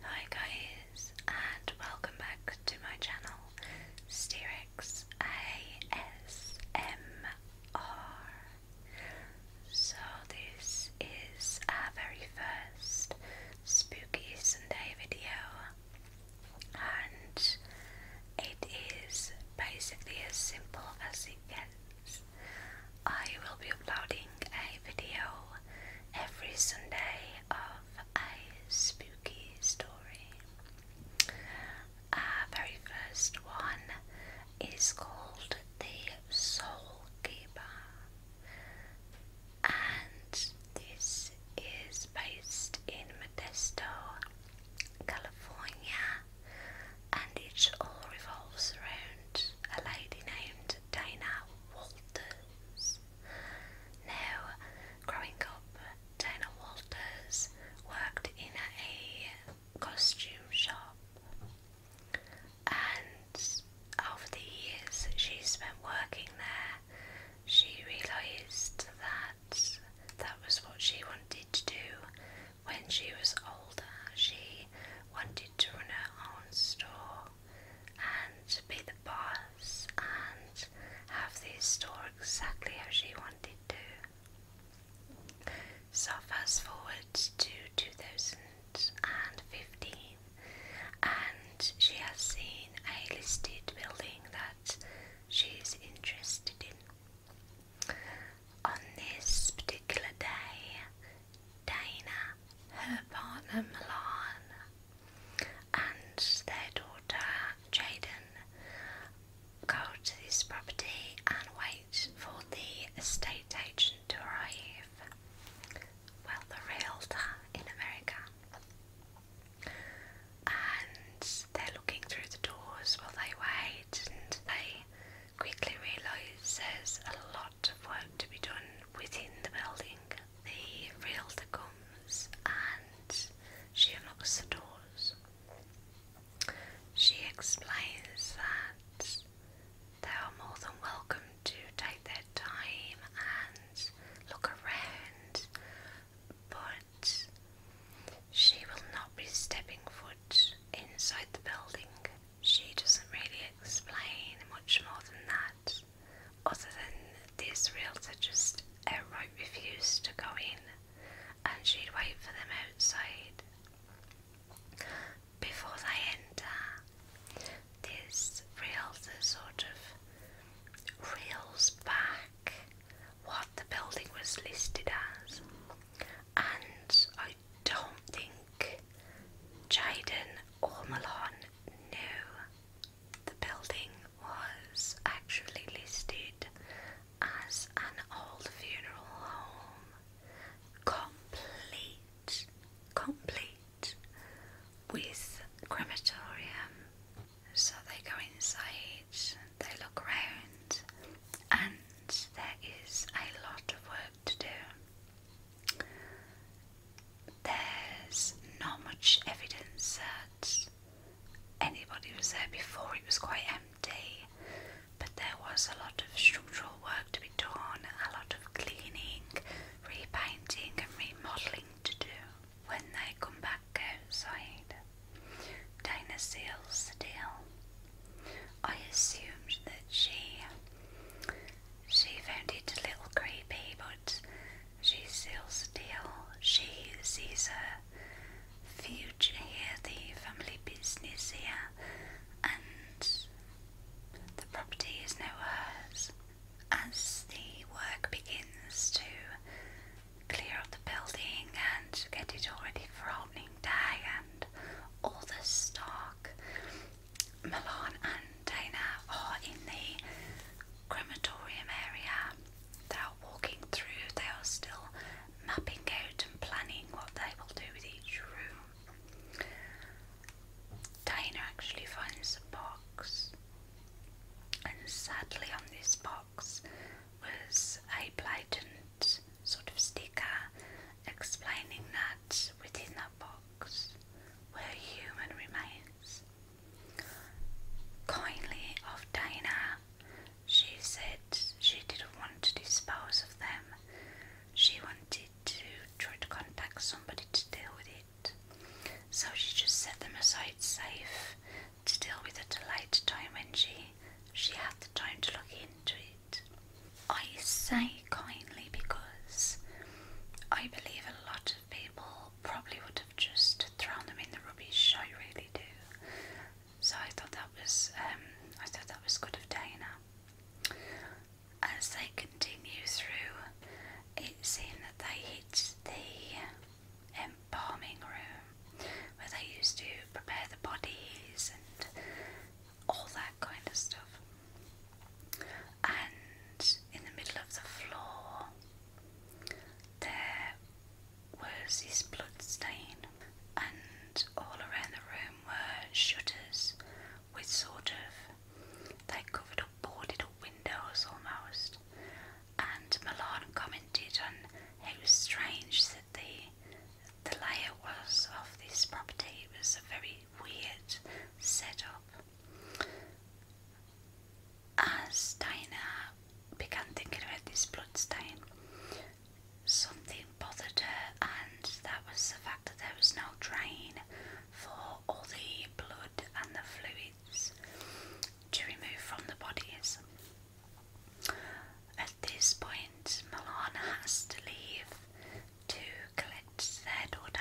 Hi guys and welcome back to my channel Steerix ASMR. So this is our very first spooky Sunday video and it is basically as simple as it gets. I will be uploading a video every Sunday of a spooky story. Our very first one is called The Soul Keeper, and this is based in Modesto, California, and it all revolves around a lady named Dana Walters films. Now, growing up, Dana Walters worked in a costume shop, and over the years she spent working there, she realised that that was what she wanted to do when she was older. She wanted to run her own store and be the boss and have the store exactly how she wanted to. So, fast forward to 2015, and she has seen a listed building that she's interested in. On this particular day, Dana, her partner Milan, and their daughter Jaden go to this property and wait for the estate agent to arrive. Well, the realtor in America. And they're looking through the doors while they wait, and they quickly realise there's a lot of work to be done within the building. The realtor comes and she unlocks the doors. She explains that they are more than welcome to take their time and look around, but she will not be stepping foot inside the building. She doesn't really explain much more than that. Other than the realtor just outright refused to go in and she'd wait for them outside. Before they enter, this realtor sort of reels back what the building was listed as, and I don't think think Jayden or Milan knew the building was actually listed as an old funeral home, complete, complete with crematorium. So they go inside, they look around, and there is a lot of work to do. There's not much evidence that anybody was there before, it was quite empty, but there was a lot of structural work to be done, a lot of cleaning, repainting, and remodelling to do. When they come back outside, Dana seals I assumed that she she found it a little creepy, but she's still still. She sees her future here, the family business here, and the property is now hers. As the work begins to clear up the building and get it all ready for opening day and all the stock Milan and Dana are in the crematorium area. They are walking through, they are still mapping out and planning what they will do with each room. Dana actually finds a box, and sadly, on this box was a blatant sort of sticker explaining that within that box where human remains. Kindly of Dana, she said she didn't want to dispose of them. She wanted to try to contact somebody to deal with it. So she just set them aside safe to deal with at a later time when she she had the time to look into it. I say kindly because I believe a lot of people probably would have just thrown them in the rubbish. I really do. So I thought that was um, I thought that was good of Dana. As they continue through, it seemed that they hit the embalming um, room where they used to prepare the bodies and all that kind of stuff and in the middle of the floor there was this blood stain, and all around the room were shutters with sort of they covered up boarded up windows almost. And Milan commented on how strange that the the layout was of this property. It was a very weird setup. As Dinah began thinking about this bloodstain, something bothered her, and that was the fact that there was no drain for all the blood and the fluids to remove from the bodies. At this point, Milan has to leave to collect their daughter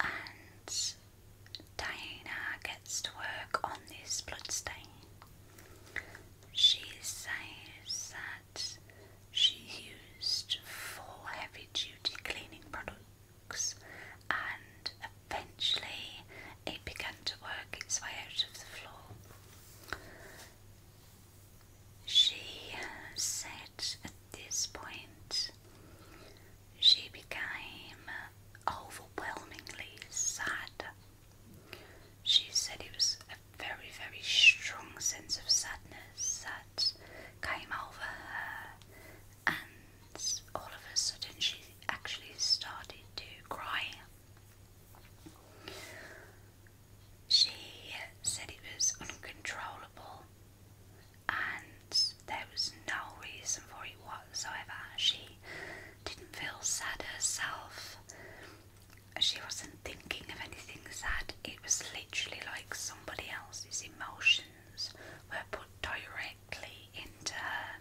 and Diana gets to work on this blood stain. She says that she used four heavy duty cleaning products and eventually it began to work its way out of the floor. She said at this point she became overwhelmingly sad. She said it was a very, very strong sense of sadness that came over her, and all of a sudden she actually started to cry. She said it was uncontrollable and there was no reason for it whatsoever. She didn't feel sad herself. She wasn't thinking of anything sad. It was literally like somebody else's emotions were put directly into her.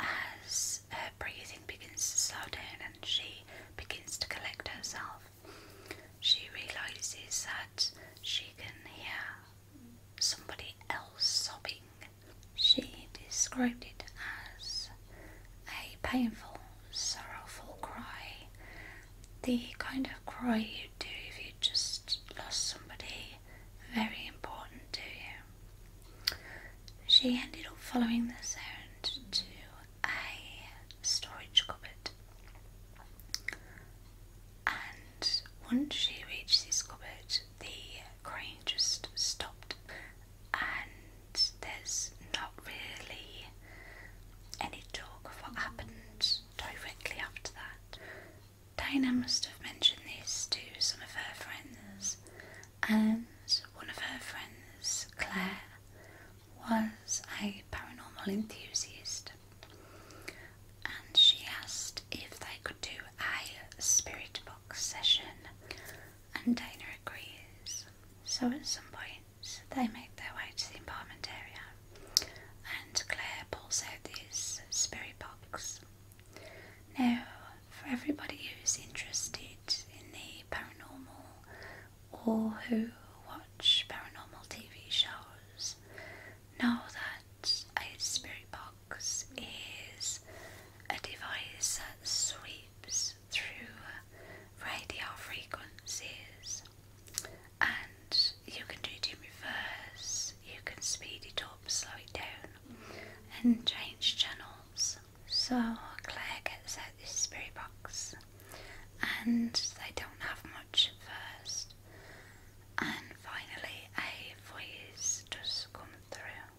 As her breathing begins to slow down and she begins to collect herself, she realizes that she can hear somebody else sobbing. She described it as a painful, sorrowful cry, the kind of cry you do if you just lost somebody very important to you. She ended up following the sound to a storage cupboard. And once she reached this cupboard, the crane just stopped, and there's not really any talk of what happened directly after that. Diana must have mentioned this to some of her friends, and one of her friends, Claire, was a paranormal enthusiast and she asked if they could do a spirit box session and Dana agrees. So at some point they make their way to the apartment area and Claire pulls out this spirit box. Now for everybody who's interested in the paranormal or who watch paranormal TV shows know that a spirit box is a device that sweeps through radio frequencies and you can do it in reverse, you can speed it up, slow it down, and change channels. So Claire gets out this spirit box and they don't have much at first. And finally, a voice does come through.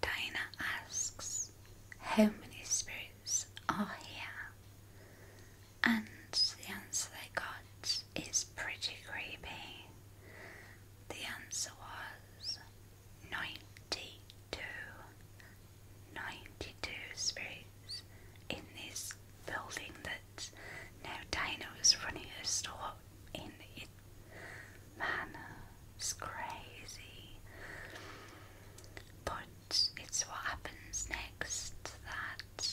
Diana asks, How many spirits are here? And the answer they got is pretty creepy. The answer was 92. 92 spruce in this building That now is running a store in it. Man, it's crazy. But it's what happens next that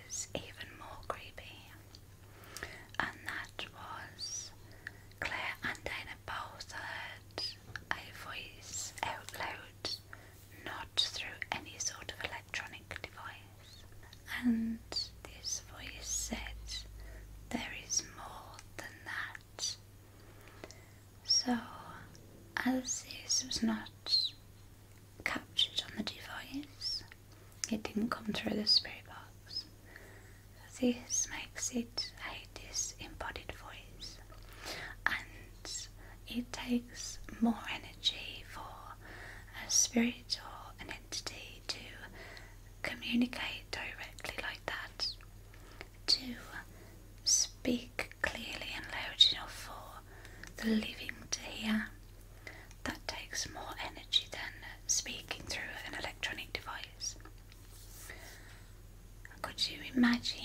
is even more creepy. And that was Claire and Dinah both heard a voice out loud, not through any sort of electronic device. And this voice said, There is more than that. So, as this was not captured on the device, it didn't come through the spirit box. This makes it a disembodied voice and it takes more energy for a spirit or an entity to communicate directly like that, to speak clearly and loud enough for the living to hear. That takes more energy than speaking through an electronic device. Could you imagine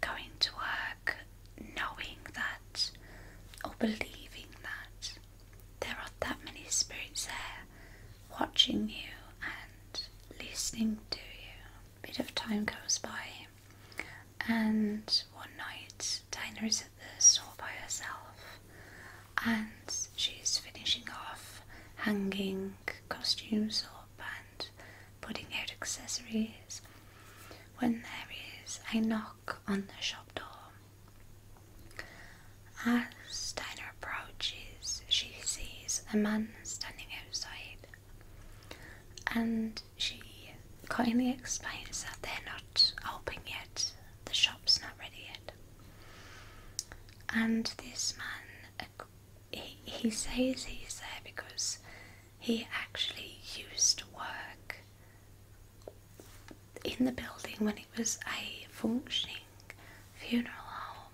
going to work knowing that or believing that there are that many spirits there watching you and listening to you? A bit of time goes by, and one night Dinah is at the store by herself and she's finishing off hanging costumes or and putting out accessories when there is a knock on the shop door. As Dinah approaches, she sees a man standing outside and she kindly explains that they're not open yet, the shop's not ready yet. And this man he, says he's there because he actually used to work in the building when it was a functioning funeral home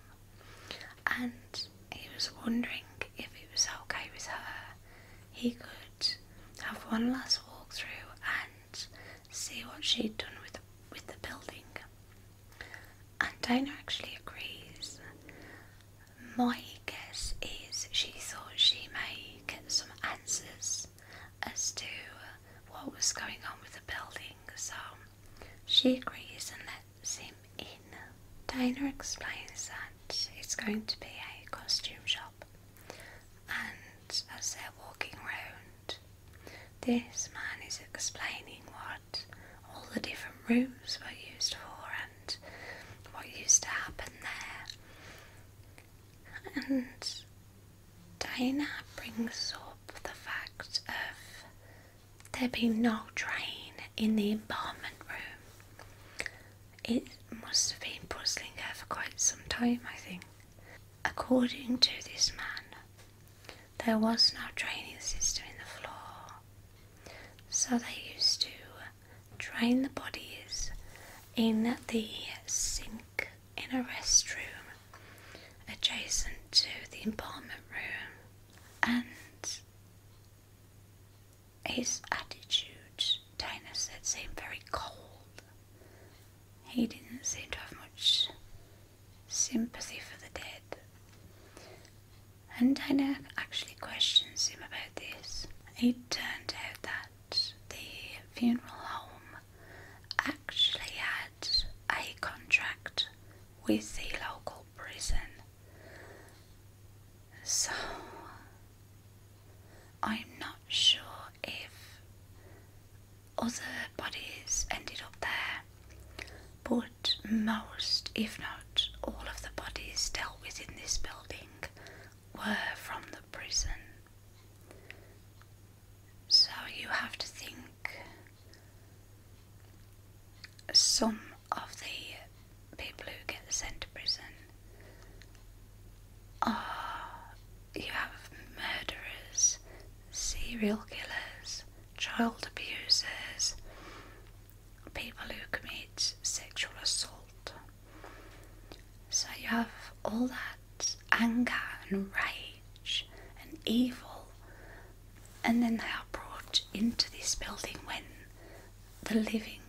and he was wondering if it was okay with her he could have one last walk through and see what she'd done with the, with the building and Dana actually agrees. My guess is she thought she may get some answers as to what was going on with the building, so she agrees and lets him in. Dana explains that it's going to be a costume shop, and as they're walking around, this man is explaining what all the different rooms were used for and what used to happen there. And Dana brings up the fact of there being no drain in the embalmment room. It must have been puzzling her for quite some time, I think. According to this man, there was no draining system in the floor, so they used to drain the bodies in the sink in a restroom adjacent to the embalmment room. And his attitude, Dana said, seemed very cold. He didn't seem to have much sympathy for the dead. And Dinah actually questions him about this. It turned out that the funeral home actually had a contract with the local prison. So I'm not sure if other bodies ended up there but most, if not all, of the bodies dealt with in this building were from the prison. So you have to think some of the people who get sent to prison are you have murderers, serial killers, child abusers, people who commit sexual assault. So you have all that anger and rage and evil, and then they are brought into this building when the living,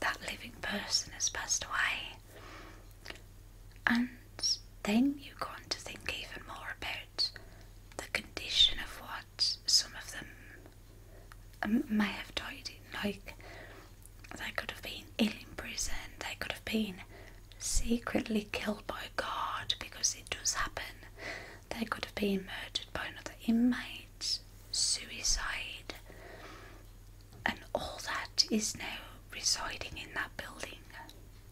that living person has passed away. And then you go on to think even more about the condition of what some of them um, may have died like, they could have been ill in prison, they could have been secretly killed by a guard because it does happen, they could have been murdered by another inmate, suicide, and all that is now residing in that building.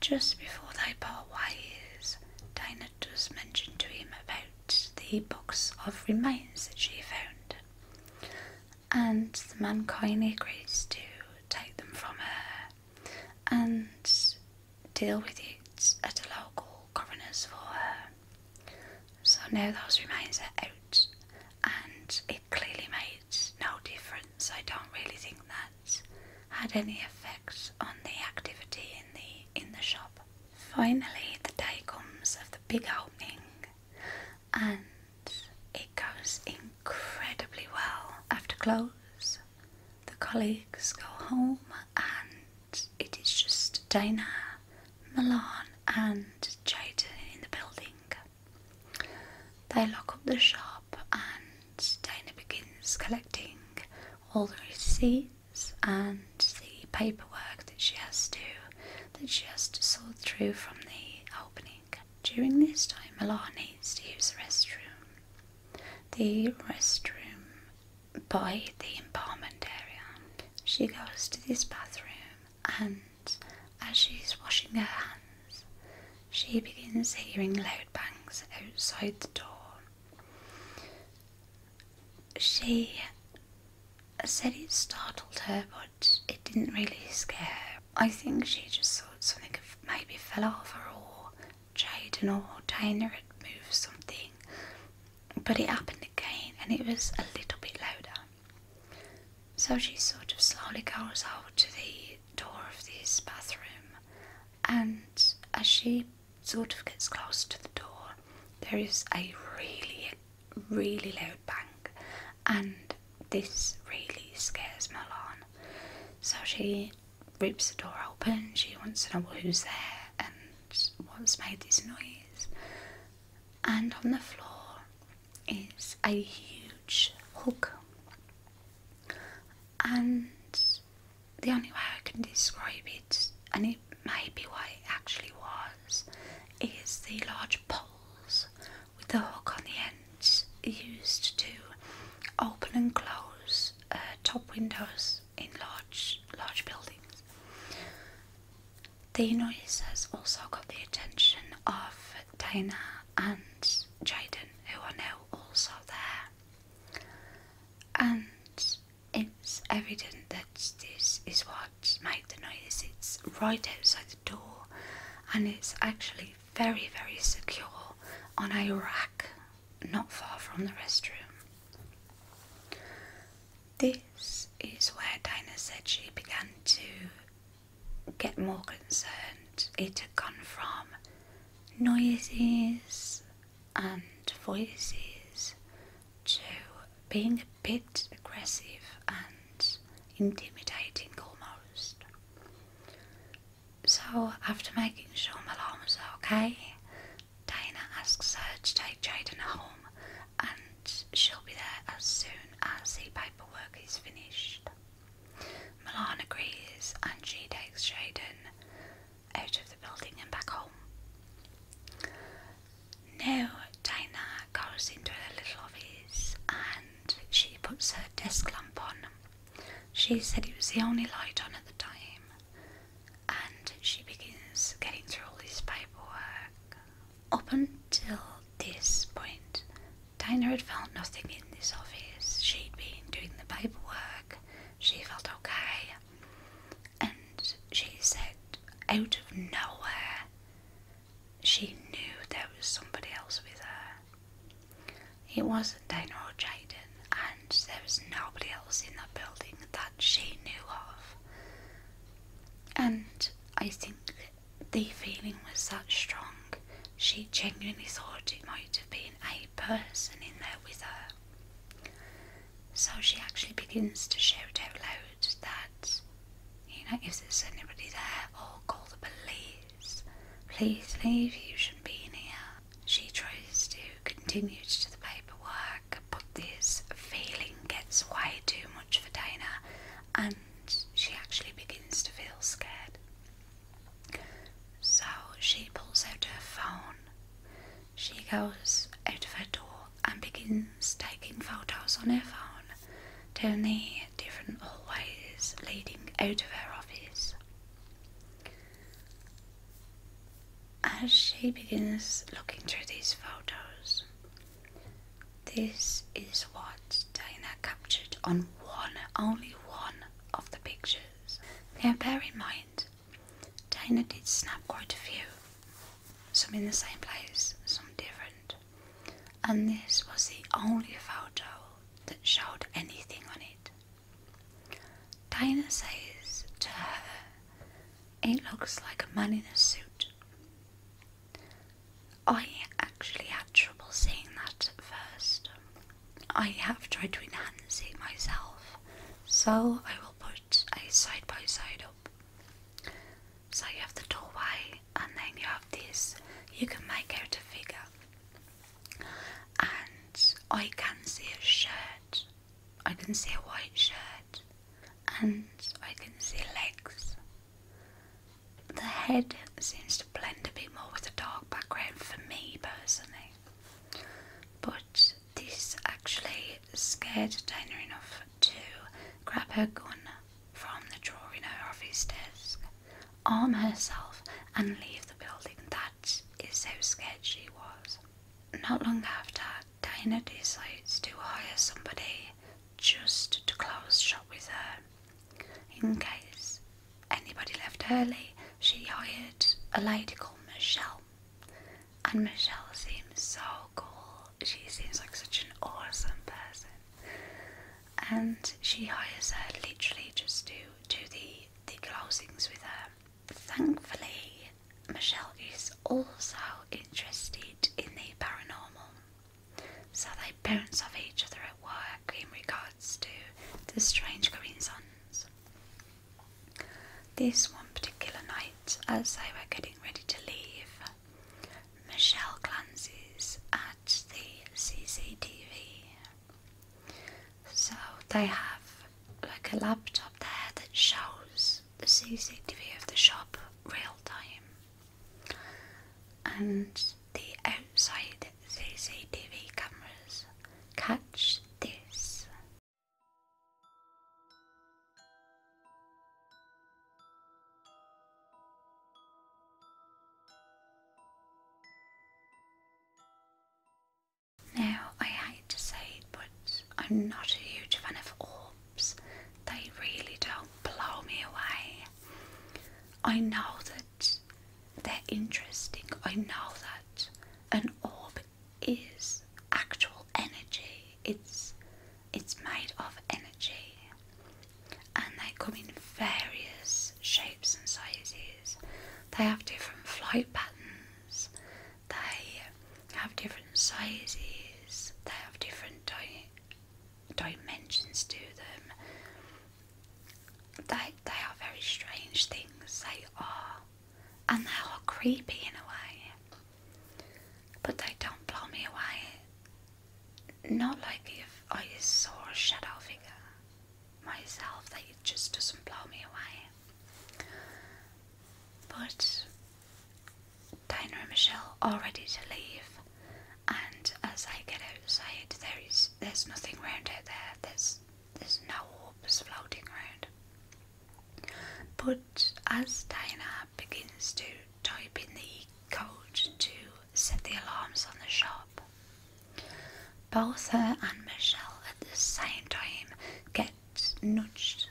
Just before they part ways, Dana Bernard was mentioned to him about the box of remains that she found, and the man kindly agrees to take them from her and deal with it at a local coroner's for her. So now those remains are out, and it clearly makes no difference. I don't really think that had any effects on the activity in the in the shop. Finally, the day comes of the big opening, and it goes incredibly well. After close, the colleagues go home, and it is just Dana, Milan, and Jada in the building. They lock up the shop, and Dana begins collecting all the receipts and the paperwork that she has to that she has to sort through from the opening. During this time, Milan needs to use the restroom. The restroom by the embalmment area. She goes to this bathroom and as she's washing her hands, she begins hearing loud bangs outside the door. She said it startled her, but it didn't really scare her. I think she just thought something maybe fell off her, or Jaden or Dana had moved something. But it happened again, and it was a little bit louder. So she sort of slowly goes out to the door of this bathroom, and as she sort of gets close to the door, there is a really, really loud bang, and this really scares Milan. So she rips the door open, she wants to know who's there and what's made this noise. And on the floor is a huge hook and the only way I can describe it, and it may be what it actually was, is the large poles with the hook on the ends used to open and close uh, top windows in large large buildings. The noise has also got the attention of Dana and Jaden, who are now also there and it's evident that this is what made the noise. It's right outside the door and it's actually very, very secure on a rack not far from the restroom. This is where Dinah said she began to get more concerned. It had gone from noises and voices to being a bit aggressive and intimidating almost. So, after making sure my alarm was okay, Dana asks her to take Jaden home and she'll be there as soon as the paperwork is finished. Milan agrees and she takes Jaden out of the building and back home. Now Dina goes into her little office and she puts her desk lamp on. She said it was the only light on at the time and she begins getting through all this paperwork. Up until this point, Dina had found nothing in this office. She'd been doing the paperwork, she felt okay. And she said, out of nowhere, she knew there was somebody else with her. It wasn't Dana or Jaden, and there was nobody else in that building that she knew of. And I think the feeling was that strong, she genuinely thought it might have been a person in there with her. So she actually begins to shout out loud that, you know, if there's anybody there, or call the police. Please leave, you shouldn't be in here. She tries to continue to do the paperwork, but this feeling gets way too much for Dana, and she actually begins to feel scared. So she pulls out her phone, she goes out of her door and begins taking photos on her phone, down the different hallways leading out of her office. As she begins looking through these photos, this is what Dina captured on one, only one of the pictures. Now bear in mind, Dinah did snap quite a few, some in the same place, some different, and this was the only photo that showed anything on it. Dinah says to her, It looks like a man in a suit. I actually had trouble seeing that at first, I have tried to enhance it myself, so I will put a side by side up. So you have the doorway, and then you have this. You can make out a figure, and I can see a shirt. I can see a white shirt, and I can see legs. The head seems to blend a bit more with the dark background for me personally. But this actually scared Dana enough to grab her gun from the drawer in her office desk, arm herself, and leave the building. That is how scared she was. Not long after, Dana decides to hire somebody just to close shop with her in case anybody left early, she hired a lady called Michelle. And Michelle seems so cool. She seems like such an awesome person. And she hires her literally just to do the, the closings with her. Thankfully, Michelle is also interested in the paranormal. So they bounce off each other at work in regards to the strange green sons. This one particular night, as they were getting ready to leave, Michelle glances at the CCTV. So they have like a laptop there that shows the CCTV of the shop real time, and the outside CCTV cameras. Catch this. Now, I hate to say it, but I'm not a huge fan of orbs. They really don't blow me away. I know that they're interesting, I know that, an orb is actual energy. It's it's made of energy, and they come in various shapes and sizes. They have different flight patterns. They have different sizes. They have different dimensions to them. They they are very strange things. They are and they're all creepy in a way, but they don't blow me away. Not like if I saw a shadow figure myself, that it just doesn't blow me away. But Dina and Michelle are ready to leave, and as I get outside, there is there's nothing round out there. There's there's no orbs floating around. But as Diana begins to type in the code to set the alarms on the shop, both her and Michelle at the same time get nudged.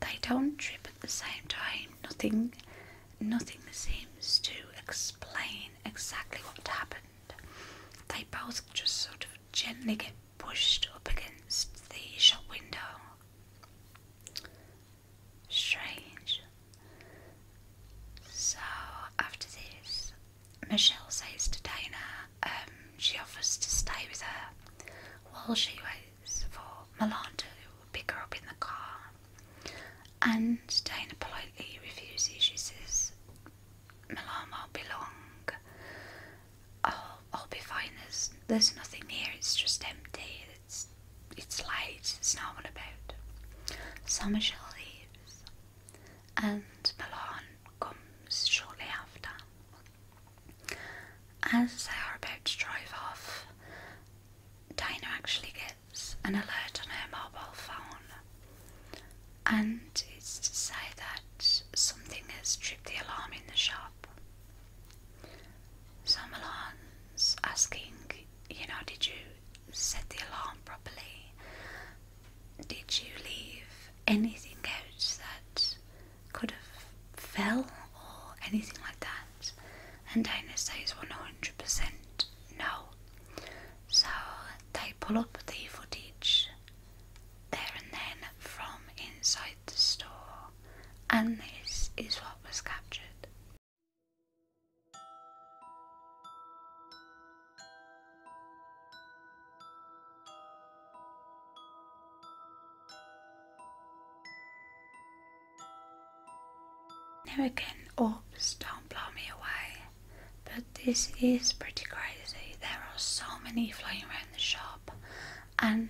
They don't trip at the same time. Nothing, nothing seems to explain exactly what happened they both just sort of gently get pushed up against the shop window. Strange. So after this, Michelle says to Dana um, she offers to stay with her while she waits for Milan to pick her up in the car. And Dana politely refuses. She says Malama belong. I'll, I'll be fine. There's, there's nothing here. It's just empty. It's it's light. It's not what about. Somershell leaves, and Milan comes shortly after. As they are about to drive off, Dinah actually gets an alert on her mobile phone and it's to say that something has tripped the alarm in the shop. So Milan's asking, you know, did you set the alarm properly? Did you leave anything else that could have fell or anything like that? And Dana says 100% no. So they pull up the footage there and then from inside the store, and this is what was captured. Now again, orbs don't blow me away, but this is pretty crazy. There are so many flying around the shop, and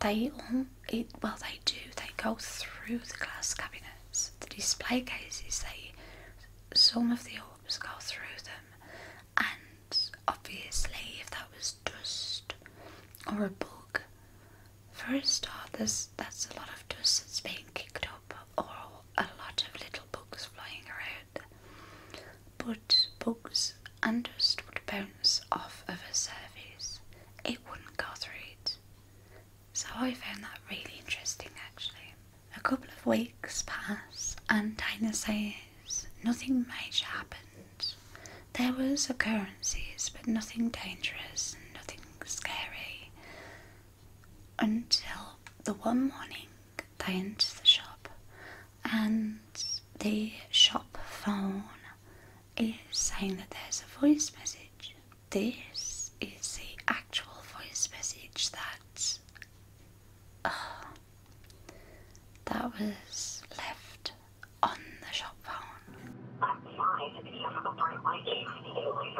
they all it well they do they go through the glass cabinets, the display cases. They some of the orbs go through them, and obviously if that was dust or a bug, first a start, there's that's a lot of dust that's being kicked up or a lot of little bugs flying around, but bugs understood dust would bounce off of a surface. It wouldn't go through it. So I found that really interesting actually. A couple of weeks pass and Dana says nothing major happened. There was occurrences but nothing dangerous and nothing scary until the one morning they enter the shop and the shop phone is saying that there's a voice message. This is the actual voice message that uh, that was left on the shop phone.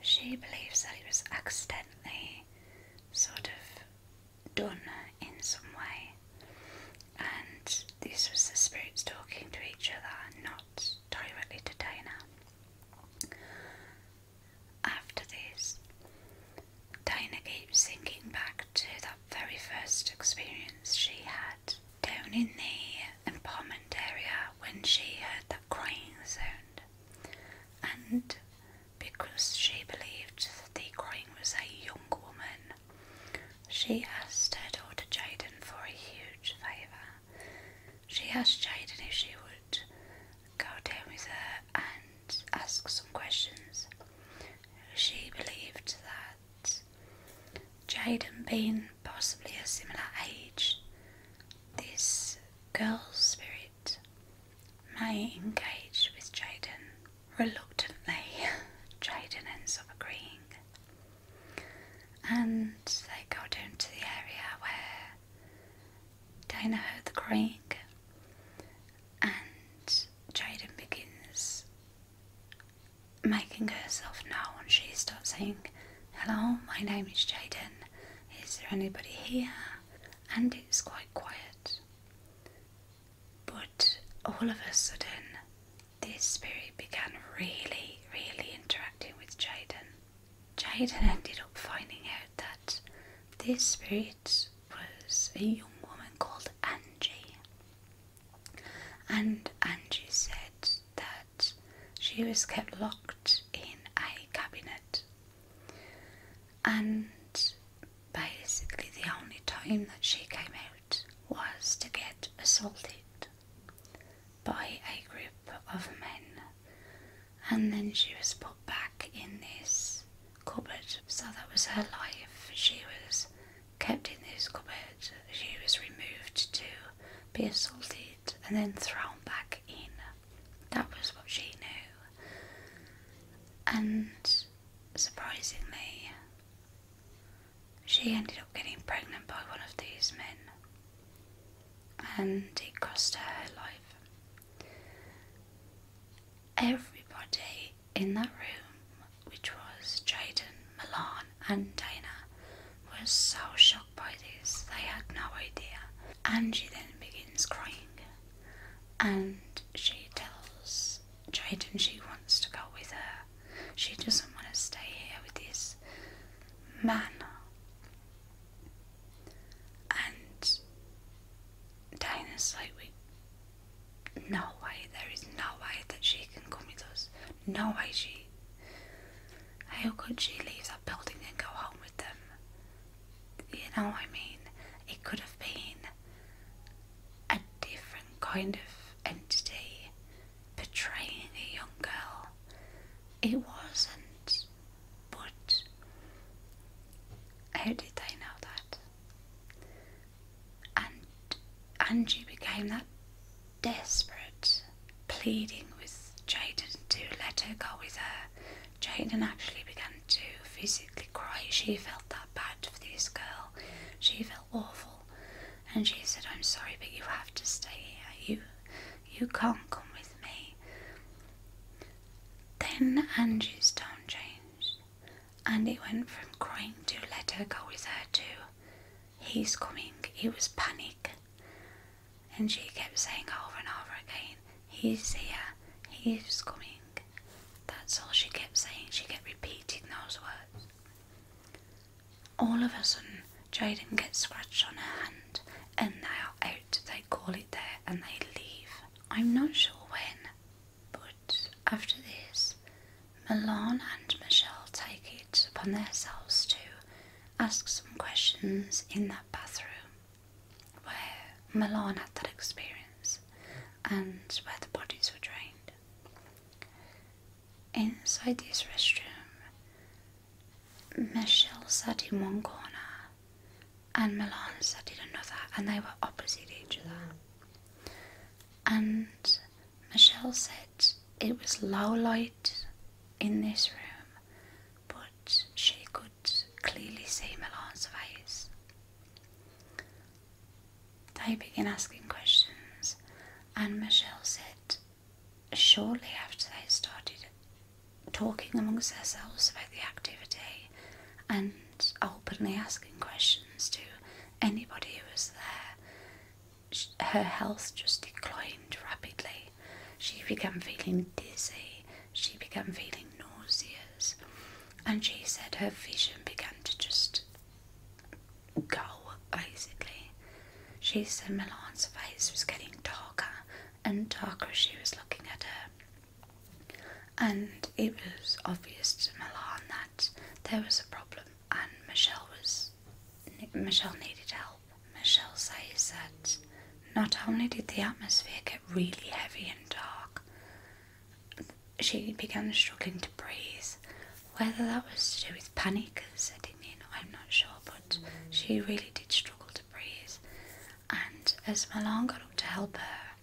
she believes that he was accidentally sort of done in some way, and this was the spirits talking to each other, not directly to Dana. After this, Dana keeps thinking back to that very first experience she had down in the empowerment area when she heard the crying sound and because she believed that the crime was a young woman, she asked her daughter Jaden for a huge favour. She asked Jaden if she would go down with her and ask some questions. She believed that Jaden being possibly a similar age, this girl's spirit May engage with Jaden, reluctantly, Jaden ends up agreeing. And they go down to the area where Dana heard the crying, and Jaden begins making herself known. She starts saying, Hello, my name is Jaden is there anybody here? And it's quite quiet. But all of a sudden, this spirit began really, really interacting with Jaden. Jaden ended up finding out that this spirit was a young woman called Angie. And Angie said that she was kept locked in a cabinet and basically the only time that she came out was to get assaulted by a group of men and then she was put back in this cupboard so that was her life she was kept in this cupboard she was removed to be assaulted and then thrown back in. That was what she knew. And surprisingly, she ended up getting pregnant by one of these men, and it cost her her life. Everybody in that room, which was Jaden, Milan, and Dana, was so shocked shocked by this, they had no idea. Angie then begins crying and she tells Jaden she wants to go with her. She doesn't want to stay here with this man. And Dana's like, we, no way, there is no way that she can come with us. No way she, how could she leave that building and go home with them? you know, I mean, it could have been a different kind of entity betraying a young girl. It wasn't, but how did they know that? And Angie became that desperate pleading with Jaden to let her go with her. Jaden actually began to physically cry. She felt that bad for this girl. She felt awful. And she said, I'm sorry, but you have to stay here. You, you can't come with me. Then Angie's tone changed. And it went from crying to let her go with her to he's coming. It was panic. And she kept saying over and over again, He's here, he's coming. That's all she kept saying. She kept repeating those words. All of a sudden, Jaden gets scratched on her hand and they are out. They call it there and they leave. I'm not sure when, but after this, Milan and Michelle take it upon themselves to ask some questions in that bathroom where Milan had that experience and where the bodies were drained. Inside this restroom, Michelle sat in one corner and Milan sat in another, and they were opposite each other. And Michelle said it was low light in this room but she could clearly see Milan's face. They began asking questions, and Michelle said, shortly after they started talking amongst themselves about the activity and openly asking questions to anybody who was there, her health just declined rapidly she began feeling dizzy, she began feeling nauseous, and she said her vision began to just go basically. She said Milan's face was getting darker and darker as she was looking at her. And it was obvious to Milan that there was a problem, and Michelle was Michelle needed help. Michelle says that not only did the atmosphere get really heavy and dark, she began struggling to breathe. Whether that was to do with panic setting in, I'm not sure, but she really did struggle to breathe. And as Milan got up to help her,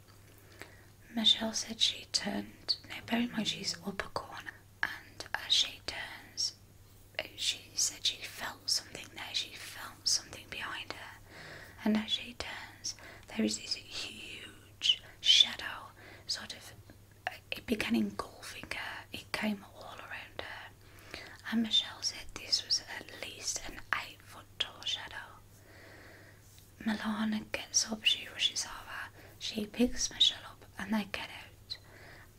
Michelle said she turned, now bear in mind she's upper corner, and as she turns, she said she felt something there, she felt something behind her, and as she turns, there is this huge shadow sort of it began engulfing her, it came all around her. And Michelle said this was at least an eight foot tall shadow. Milana gets up, she rushes over, she picks Michelle up, and they get out.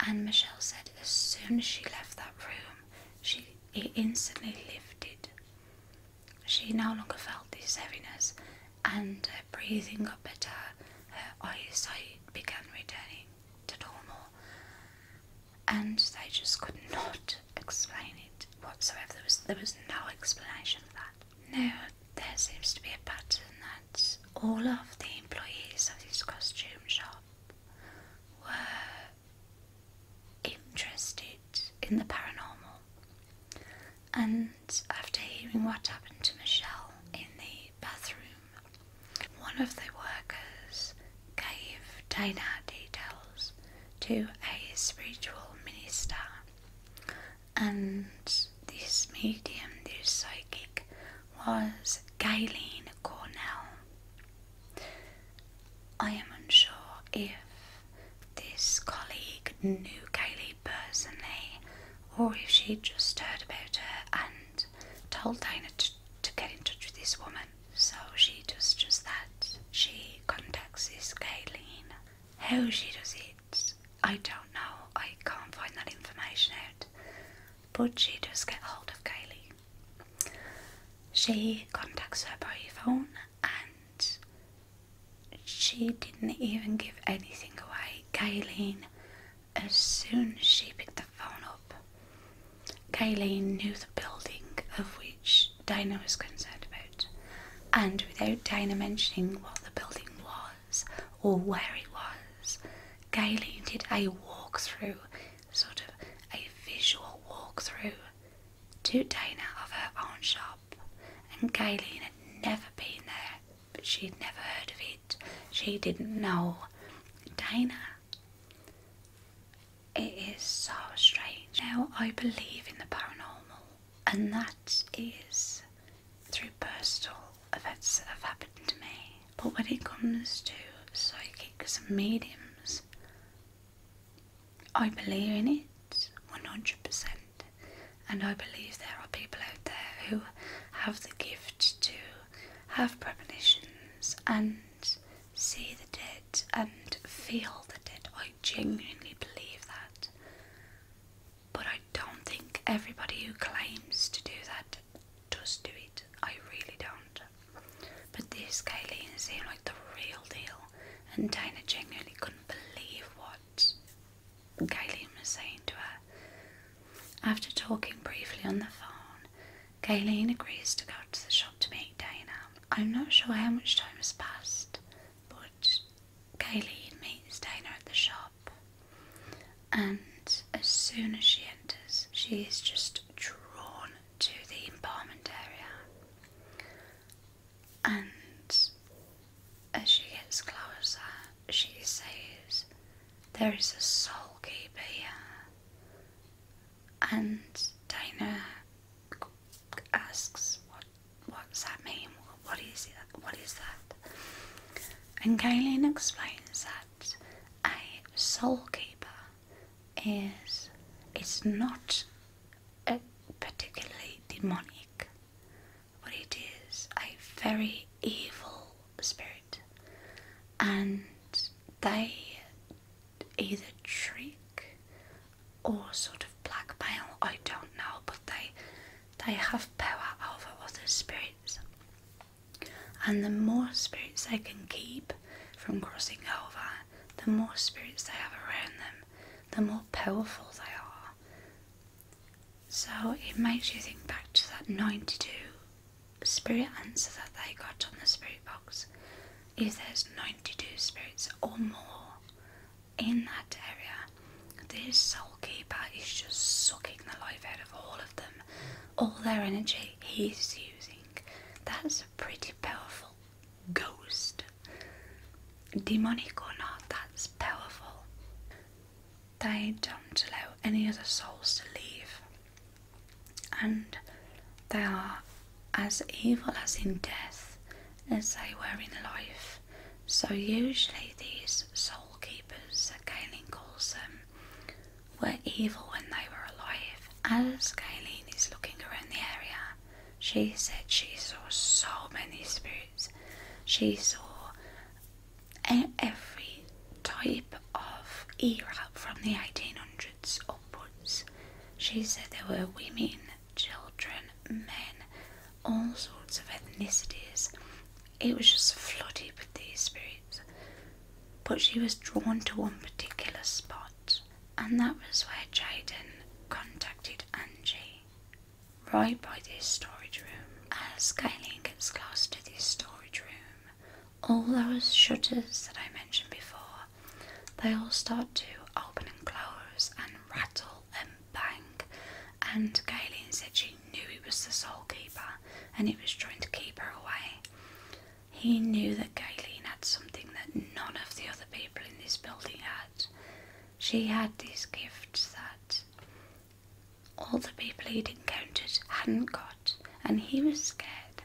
And Michelle said as soon as she left that room, she it instantly lifted. She no longer felt this heaviness, and her breathing got better. Her eyesight began returning to normal, and they just could not explain it whatsoever. There was there was no explanation for that. No, there seems to be a pattern that all of the employees of this costume shop were interested in the paranormal. And after hearing what happened to Michelle in the bathroom, one of the workers gave Dana details to a spiritual minister, and this medium, this psychic, was Galen Cornell. I am unsure if this colleague knew Kaylee personally or if she just heard about her and told Dana to, get in touch with this woman. So she does just that. She contacts this Kayleen. How she does it, I don't know. I can't find that information out. But she does get hold of Kaylee. She contacts her by phone and she didn't even give anything away. Gailene, as soon as she picked the phone up, Gailene knew the building of which Dinah was concerned about, and without Dinah mentioning what the building was or where it was, Gailene did a walk through sort of a visual walkthrough to Dana of her own shop. And Kayleen had never been there, but she'd never heard of it. She didn't know Dana. It is so strange. Now I believe in the paranormal, and that is through personal events that have happened to me but when it comes to psychics and mediums, I believe in it 100%, and I believe there are people out there who have the gift to have premonitions and see the dead and feel the dead. I genuinely believe that, but I don't think everybody who claims to do that just do it. I really don't. But this Kylene seemed like the real deal, and Dana genuinely couldn't believe what Kylene was saying to her. After talking briefly on the phone, Kylene agrees to go to the shop to meet Dana. I'm not sure how much time has passed, but Kylene meets Dana at the shop. And as soon as she enters, she is just drawn to the embalmment area, and as she gets closer, she says, There is a soul keeper And Dana asks, What what's that mean? What is it? What is that? And Kaylin explains that a soul keeper is it's not a particularly demonic, but it is a very evil spirit, and they either trick or sort of blackmail. I don't know, but they they have power over other spirits. And the more spirits they can keep from crossing over, the more spirits they have around them, the more powerful they are. So it makes you think back to that 92 spirit answer that they got on the spirit box. If there's 92 spirits or more in that area, this soul keeper is just sucking the life out of all of them, all their energy he's using that's a pretty powerful ghost. Demonic or not, that's powerful. They don't allow any other souls to leave. And they are as evil as in death as they were in life. So usually these soul keepers that Galen calls them were evil when they were alive. As Galen is looking around the area, she said she saw so many spirits. She saw every type of era from the 1800s upwards. She said there were women, children, men, all sorts of ethnicities. It was just flooded with these spirits but she was drawn to one particular spot, and that was where Jaden contacted Angie, right by this storage room. As Kayleen gets close to this storage room, all those shutters that I mentioned before, they all start to open and close and rattle and bang, and Kayleen said she knew it was the soul keeper and it was trying to keep her away. He knew that Gayleen had something that none of the other people in this building had. She had these gifts that all the people he'd encountered hadn't got, and he was scared.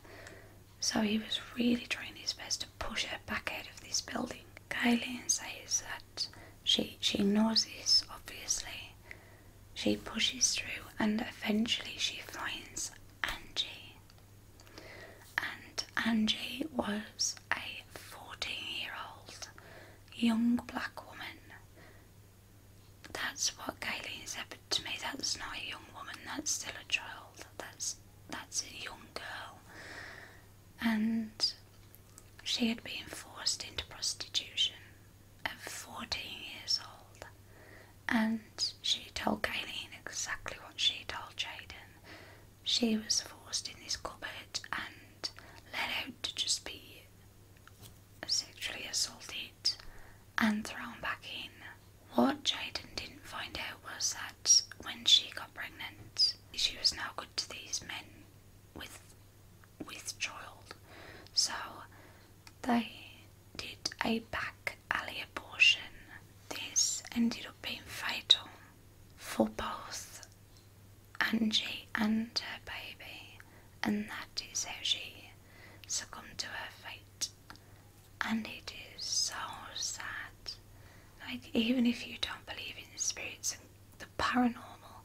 So he was really trying his best to push her back out of this building. Gayleen says that she she knows this obviously. She pushes through and eventually she finds Angie. And Angie was a 14 year old young black woman. That's what Kayleen said but to me. That's not a young woman, that's still a child. That's that's a young girl. And she had been forced into prostitution at 14 years old and she told Galen exactly what she told Jaden. She was forced in this cupboard and let out to just be sexually assaulted and thrown back in. What Jaden didn't find out was that when she got pregnant, she was now good to these men with with child. So they did a back alley abortion. This ended up being fatal for both Angie and her baby, and that is how she succumbed to her fate. And it is so sad. Like, even if you don't believe in spirits and the paranormal,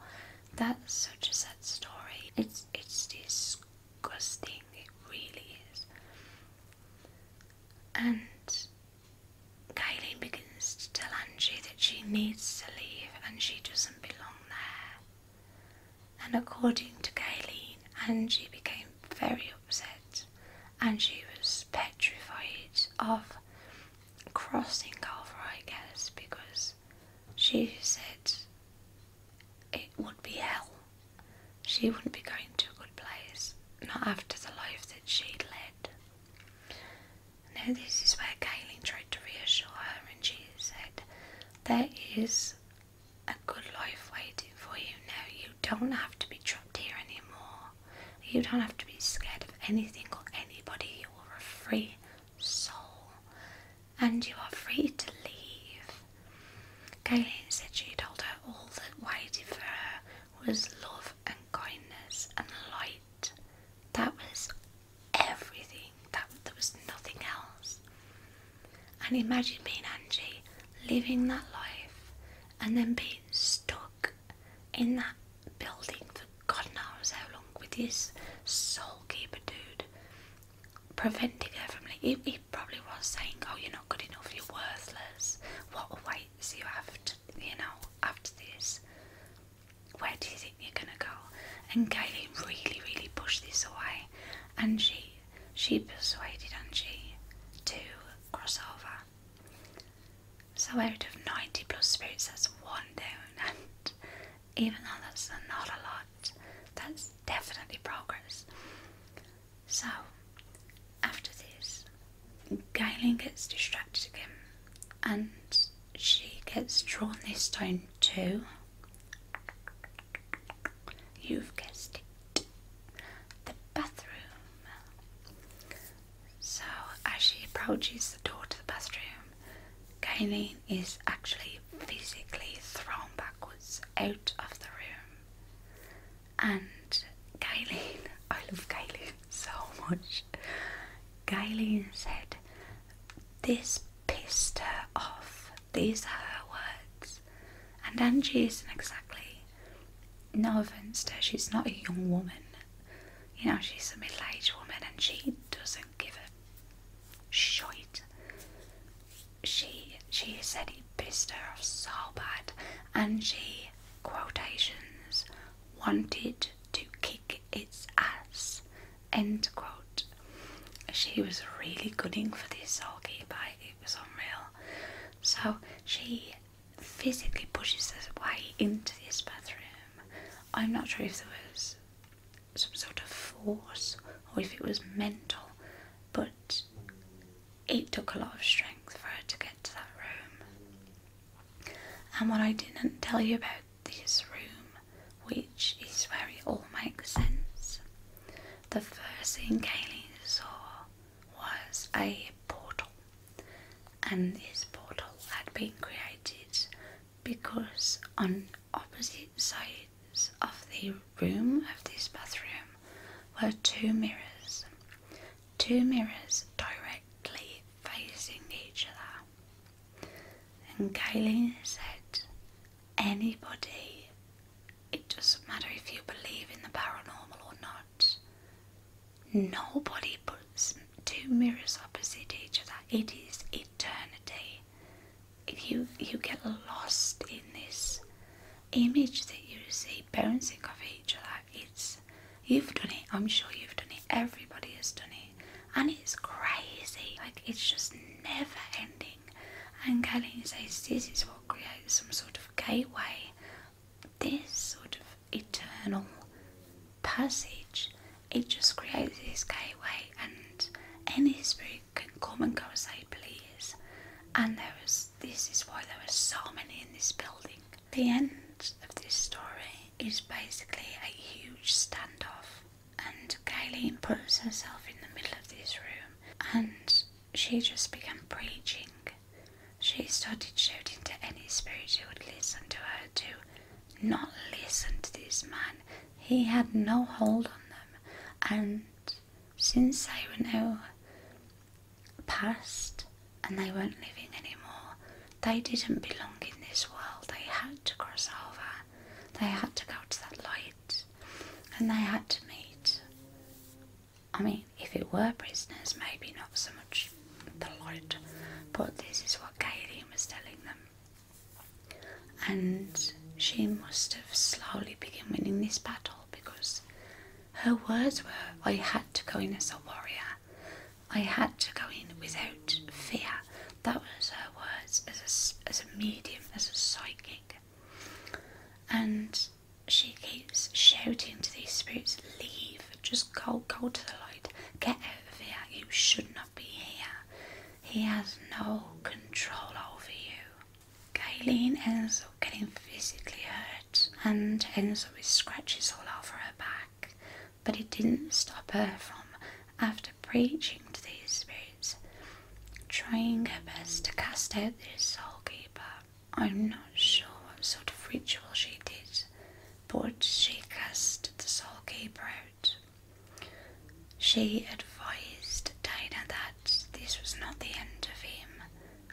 that's such a sad story. It's, it's this disgusting, it really is. And Kylie begins to tell Angie that she needs to leave and she doesn't belong there. And according to Kayleen, Angie became very upset and she was petrified of crossing over, I guess, because she said it would be hell. She wouldn't be going to a good place, not after the life that she'd led. Now, this is where Kaylin tried to reassure her, and she said, There is a good life waiting for you now. You don't have to be trapped here anymore. You don't have to be scared of anything or anybody. You are a free soul and you are free to leave. Gaylene said she told her all that waited for her was love and kindness and light. That was everything. That there was nothing else. And imagine being Angie, living that life, and then being stuck in that building for God knows how long with this soul keeper dude Preventing her from like he, probably was saying, "Oh, you're not good enough. You're worthless. What awaits you after you know after this? Where do you think you're gonna go?" And Kaylin really, really pushed this away, and she she persuaded Angie to cross over. So out of 90 plus spirits, that's one down, and even though that's not a lot, that's definitely progress. So, after this, Galen gets distracted again and she gets drawn this time too. You've guessed it. The bathroom. So, as she approaches the door to the bathroom, Galen is actually physically thrown backwards out of the room. And Gaileen, I love Gaileen so much. Gaileen said, This pissed her off. These are her words. And Angie isn't exactly, no offense to she's not a young woman. You know, she's a middle aged woman and she doesn't give a shite she she said he pissed her off so bad and she quotations wanted to kick its ass end quote she was really gooding for this but it was unreal so she physically pushes us way into this bathroom i'm not sure if there was some sort of force or if it was mental but it took a lot of strength for her to get to that room. And what I didn't tell you about this room, which is where it all makes sense, the first thing Kaylee saw was a portal, and this portal had been created because on opposite sides of the room of this bathroom were two mirrors, two mirrors directly facing each other. And Kayleen said, Anybody, it doesn't matter if you believe in the paranormal or not, nobody puts two mirrors opposite each other. It is eternity you you get lost in this image that you see bouncing off each other. It's you've done it. I'm sure you've done it. Everybody has done it, and it's crazy. Like it's just never ending. And Kathleen says this is what creates some sort of gateway. This sort of eternal passage. It just creates this gateway and any spirit can come and go as they please. And there was this is why there were so many in this building. The end of this story is basically a huge standoff, and Gaylene puts herself in the middle of this room and she just began preaching. She started shouting to any spirit who would listen to her to not listen to this man. He had no hold on them, and since they were now past and they weren't living anymore, they didn't belong in this world. They had to cross over, they had to go to that light, and they had to meet. I mean, if it were prisoners, maybe not so much the light, but this is what Gaylene was telling them and she must have slowly begun winning this battle because her words were I had to go in as a warrior, I had to go in without fear. That was her words as a, medium, as a psychic. And she keeps shouting to these spirits, Leave, just go, go to the light, get out of here, you should not be here. He has no control over you. Kayleen ends up getting physically hurt and ends up with scratches all over her back, but it didn't stop her from, after preaching to these spirits, trying her best to cast out their soul keeper. I'm not sure what sort of ritual she did, but she cast the soul keeper out. She advised Dinah that this was not the end of him,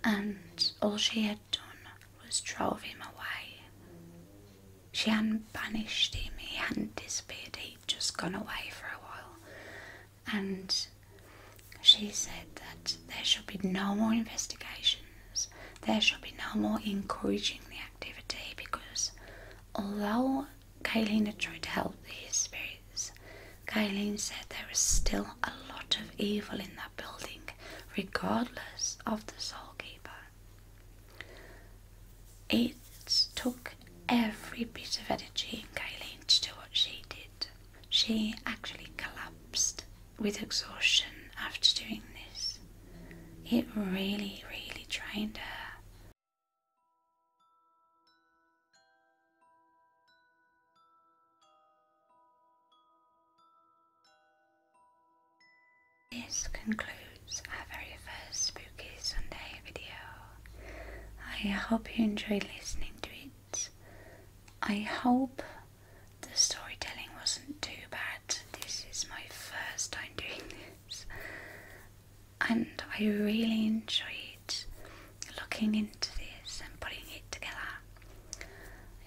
and all she had done was drive him away. She hadn't banished him, he hadn't disappeared, he'd just gone away for a while. And she said that there should be no more investigations, there should be no more encouraging the activity because although had tried to help these spirits. Kailina said there was still a lot of evil in that building, regardless of the soul keeper. It took every bit of energy in Kailina to do what she did. She actually collapsed with exhaustion after doing this. It really, really drained her. This concludes our very first Spooky Sunday video. I hope you enjoyed listening to it. I hope the storytelling wasn't too bad. This is my first time doing this and I really enjoyed looking into this and putting it together.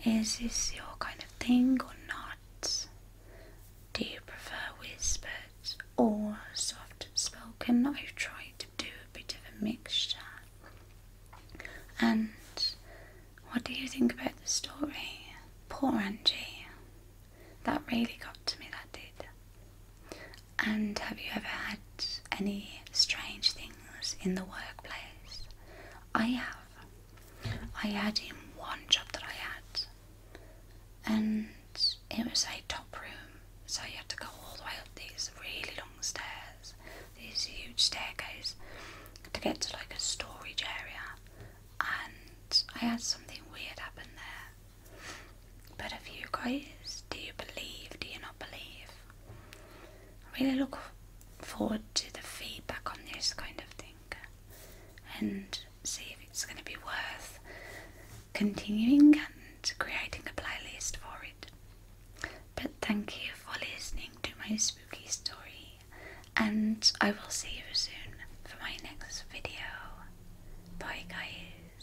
Is this your kind of thing or not? Do you prefer whispered or soft spoken? I have tried to do a bit of a mixture. And what do you think about the story? Poor Angie. That really got to me, that did. And have you ever had any strange things in the workplace? I have. I had in one job that I had, and it was a top room, so you had to go all the way up these really long stairs, these huge staircase, to get to like a storage area. And I had something weird happen there. But if you guys, do you believe? Do you not believe? I really look forward to the feedback on this kind of thing and see if it's going to be worth continuing and creating a playlist for it. But thank you for listening to my spooky story, and I will see you soon for my next video. Bye, guys.